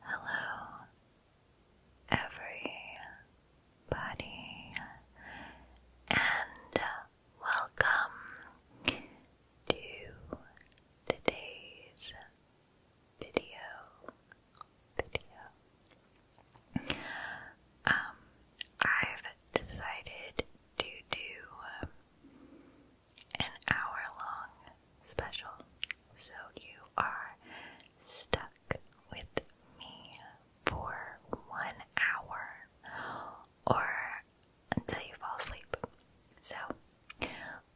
Hello, everybody, and welcome to today's video. Video. Um, I've decided to do an hour long special, so you are stuck with me for one hour or until you fall asleep. So,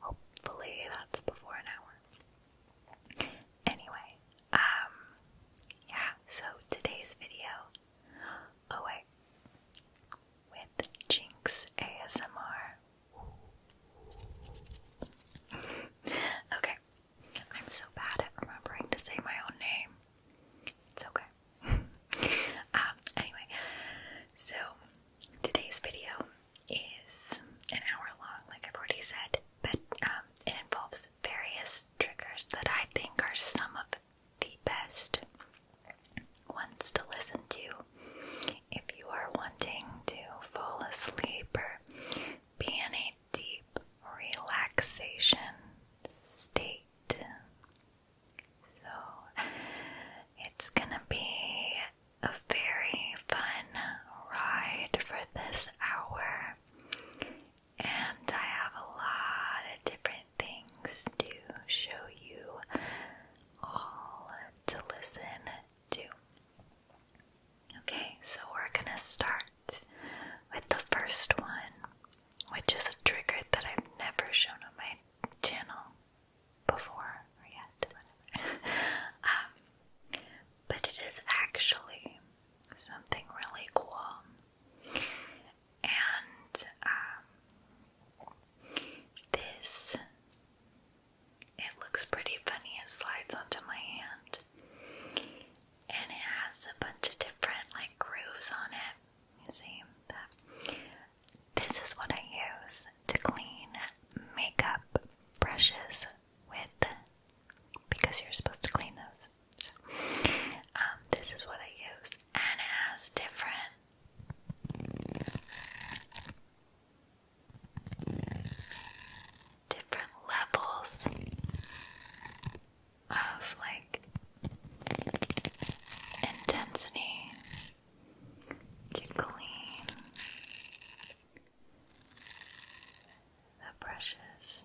hopefully, that's before an hour. Anyway, um, yeah, so today's video. Oh, wait with Jinx ASMR. okay, I'm so bad at remembering to say my own name. It's okay. um, anyway, so today's video is an hour long, like I've already said, but um, it involves various triggers that I think are some of the best ones to listen to if you are wanting to fall asleep or be in a deep relaxation state. So it's gonna be a very fun ride for this hour, and I have a lot of different things to show you all to listen to. Okay, so we're gonna start with the first one, which is a trigger that I've never shown on my channel before or yet, um, but it is actually something really cool, and um, this, it looks pretty funny. It slides onto my hand. And it has a bunch of different like grooves on it. You see that? This is what I use to clean makeup brushes with because you're supposed to clean those. So, um, this is what I use, and it has different different levels of like intensity to clean the brushes.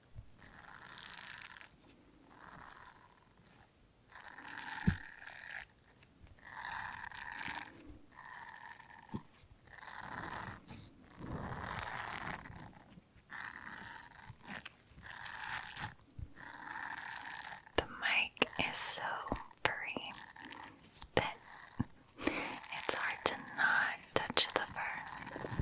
The mic is so free that it's hard to not touch the fur.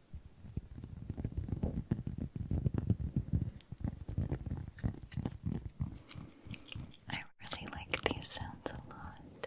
I really like these sounds a lot.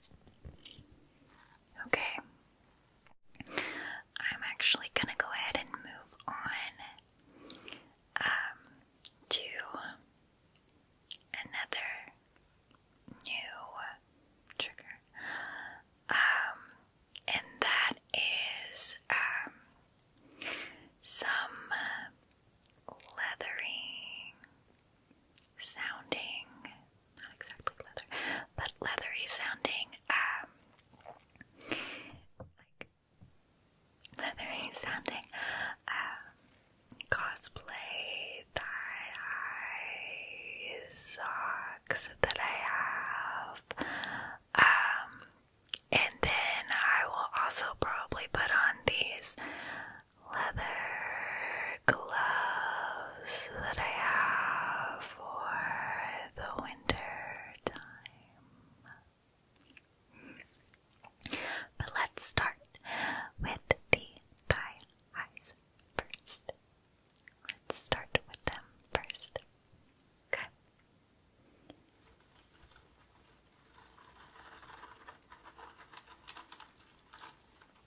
Okay. I'm actually gonna go ahead and move on um, to another new trigger, um, and that is um, some leathery sounding, not exactly leather, but leathery sounding, um, like leathery sounding, um, cosplay tie-dye socks that I have, um, and then I will also probably put on these leather gloves that I have for the winter time. But let's start with the thigh first. Let's start with them first. Okay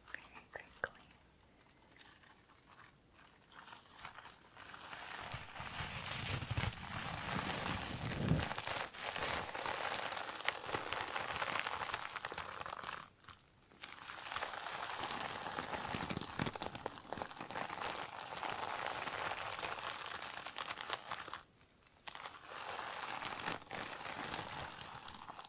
very quickly. Okay,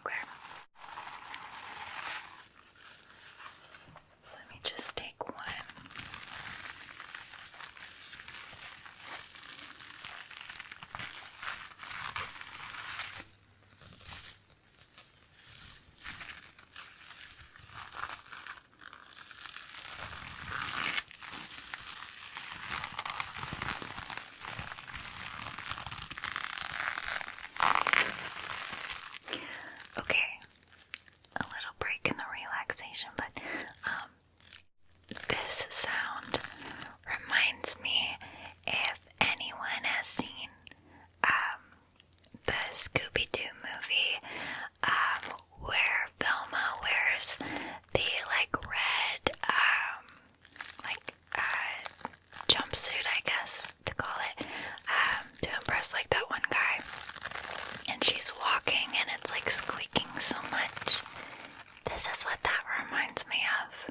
Okay. Let me just take one. Okay, a little break in the relaxation, but um, this sound reminds me if anyone has seen um, the Scooby Doo movie, um, where Velma wears the like red, um, like uh, jumpsuit, I guess to call it, um, to impress like that one guy. And she's walking, and it's like squeaking so much. This is what that reminds me of.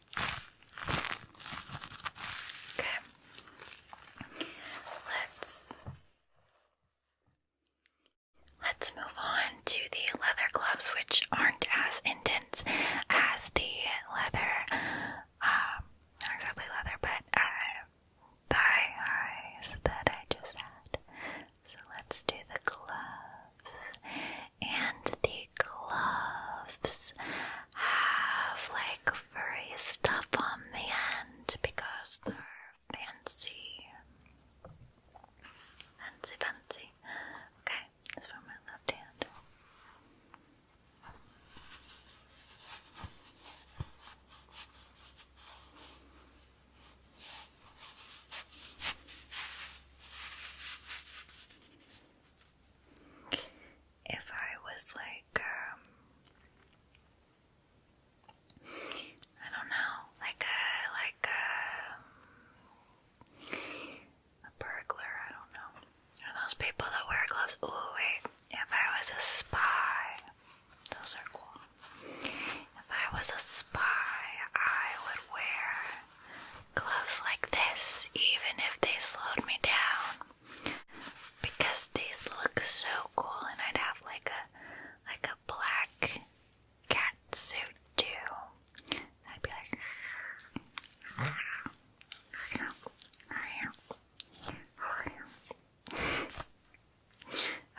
Okay. Let's Let's move on to the leather gloves, which aren't as intense as the leather, um, not exactly leather, but uh, thigh that I just had. So let's do the gloves and the like gloves have like furry stuff on the end because they're fancy. Fancy, fancy. Okay, this for my left hand if I was like, um, I don't know, like a, like a, um, burglar, I don't know. Or those people that wear gloves. Oh wait, if I was a spy, those are cool. If I was a spy, I would wear gloves like this, even if they slowed me down because these look so cool, and I'd have like a like a black cat suit too. I'd be like.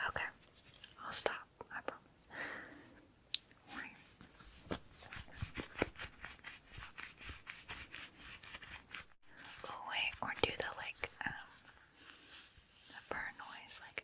Okay, I'll stop. I promise. Oh wait, or do the like um, the bird noise like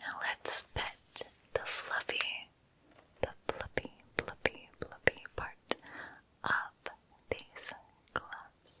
Now let's pet the fluffy, the fluffy, fluffy, fluffy part of these gloves.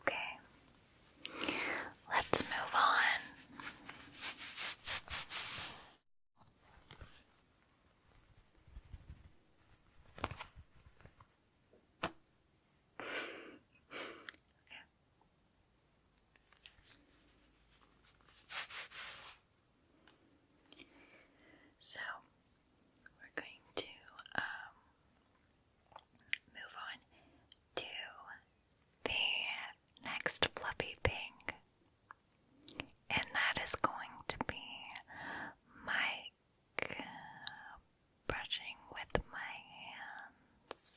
Okay, let's move on. So we're going to um, move on to the next fluffy thing, and that is going to be Mike brushing with my hands.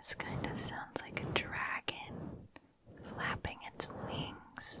This kind of sounds like a dragon flapping its wings.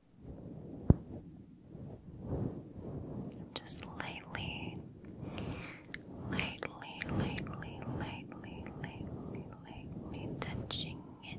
Just lightly, lightly, lightly, lightly, lightly, lightly touching it.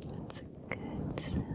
That's a good sound.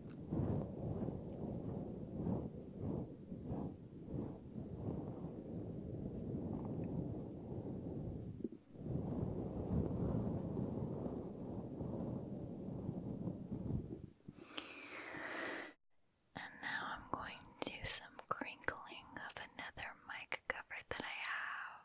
And now I'm going to do some crinkling of another mic cover that I have.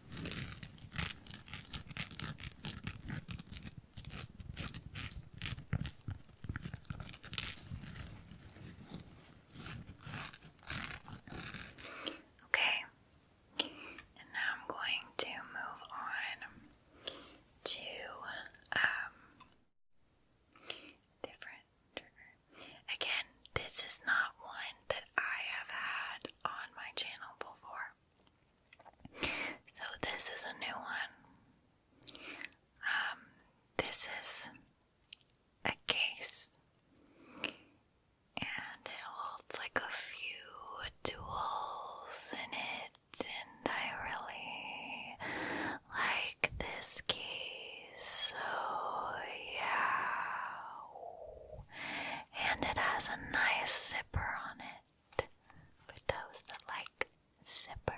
Okay, and now I'm going to move on to um, different trigger. Again, this is not one that I have had on my channel before. So this is a new one. Um, this is a case and it holds like a few tools in it and I really like this case so yeah and it has a nice zipper on it for those that like zippers.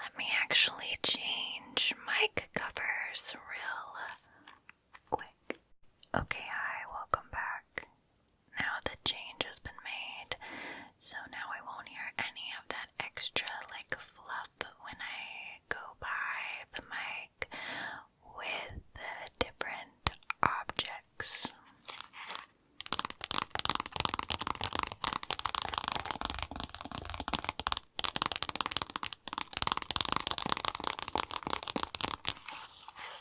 Let me actually change mic covers real quick. Okay, hi, welcome back now the change has been made, so now I won't hear any of that extra like fluff when I go by the mic with the different objects.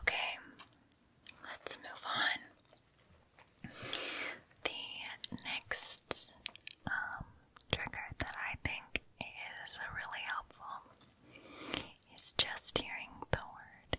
Okay, let's move on. The next um, trigger that I think is really helpful is just hearing the word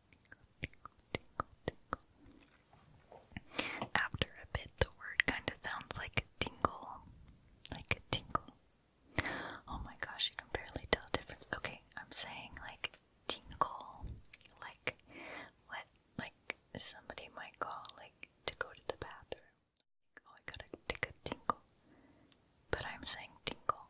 tingle, tingle, After a bit, the word kind of sounds like a tingle. Like a tingle. Oh my gosh, you can barely tell the difference. Okay, I'm saying like tinkle. Like what like somebody might call like to go to the bathroom. Oh, I gotta take a But I'm saying tinkle.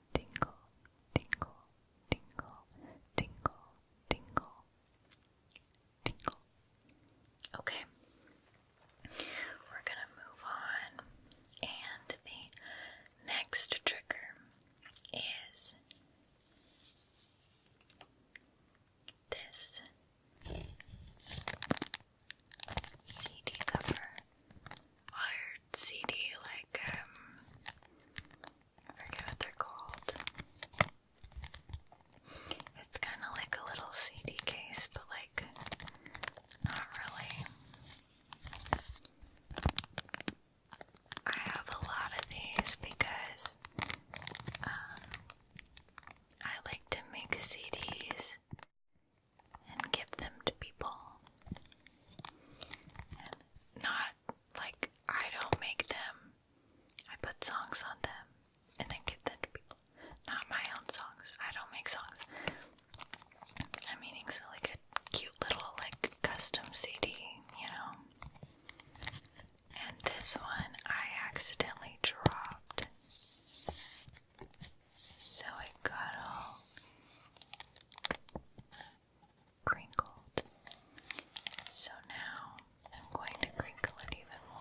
tingle, tingle, tingle, tingle, tingle, tingle. Okay, we're gonna move on, and the next trigger is this CD cover art CD, like, um, I forget what they're called. It's kind of like a little CD case, but like, not really. I have a lot of these because um, I like to make CDs and give them to people not like I don't make them. I put songs on them and then give them to people. Not my own songs. I don't make songs. I'm meaning so like a cute little like custom CD, you know. And this one I accidentally dropped. So it got all crinkled. So now I'm going to crinkle it even more.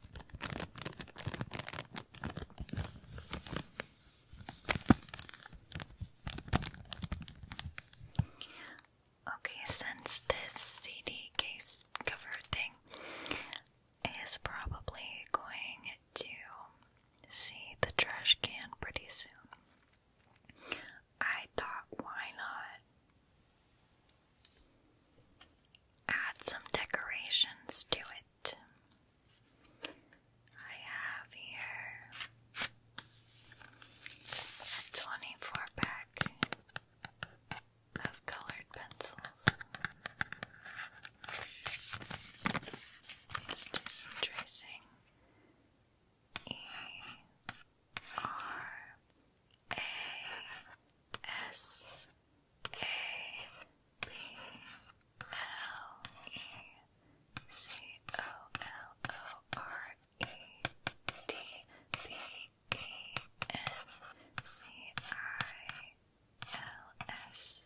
Okay, since this CD case cover thing is probably going to see the trash can pretty soon, I thought why not add some decorations to it. I have here a 24 pack of colored pencils. let tracing. E R A S a B L E C O L O R E D B E N C I L S.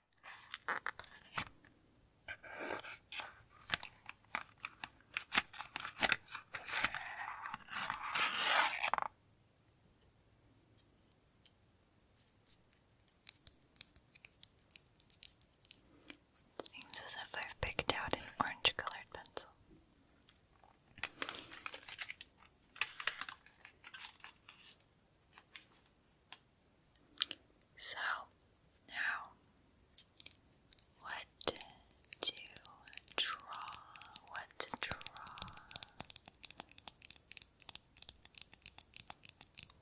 Seems as if I've picked out an orange colored pencil. So, now, what to draw? What to draw?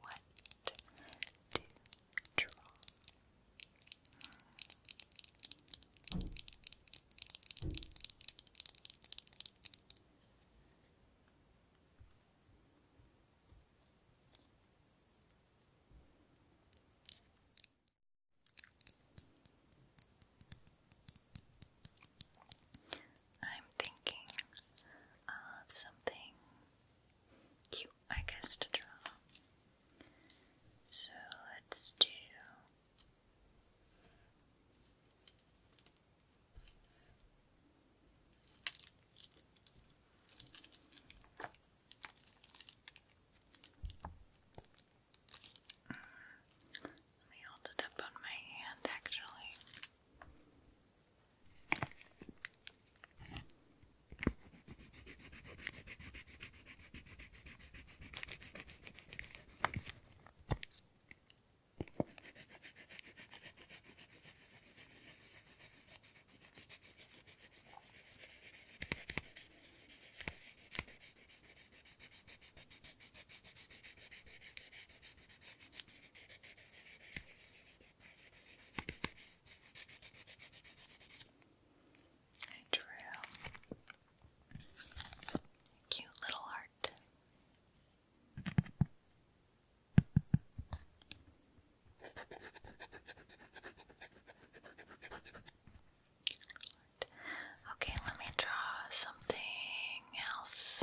What to draw? I'm thinking of something cute, I guess, to draw. So let's do. Let me hold it up on my hand actually. I drew a cute little heart. Okay, let me draw something else.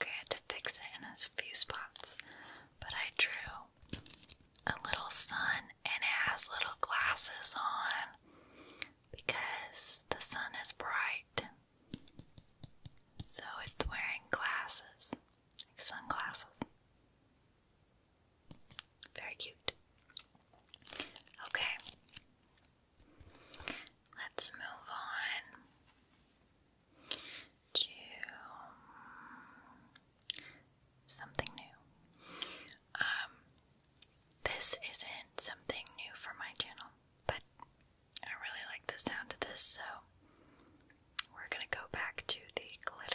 Okay, I had to fix it in a few spots, but I drew a little sun and it has little glasses on because the sun is bright. So it's wearing glasses, sunglasses. Very cute. Okay. Let's move on to something new. Um, this isn't something new for my channel, but I really like the sound of this, so we're gonna go back to the glitter.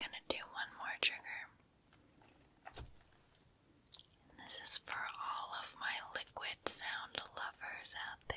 gonna do one more trigger. this is for all of my liquid sound lovers out there.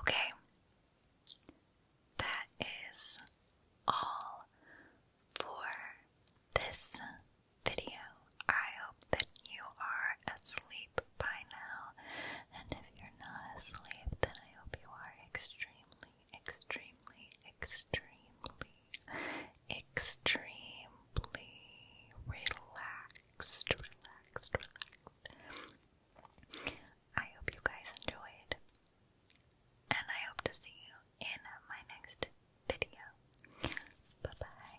Okay, that is all for this video. I hope that you are asleep by now, and if you're not asleep, then I hope you are extremely extremely, extremely, extremely relaxed, relaxed, relaxed. I hope you guys enjoyed, and I hope to see you in my next video. Bye bye.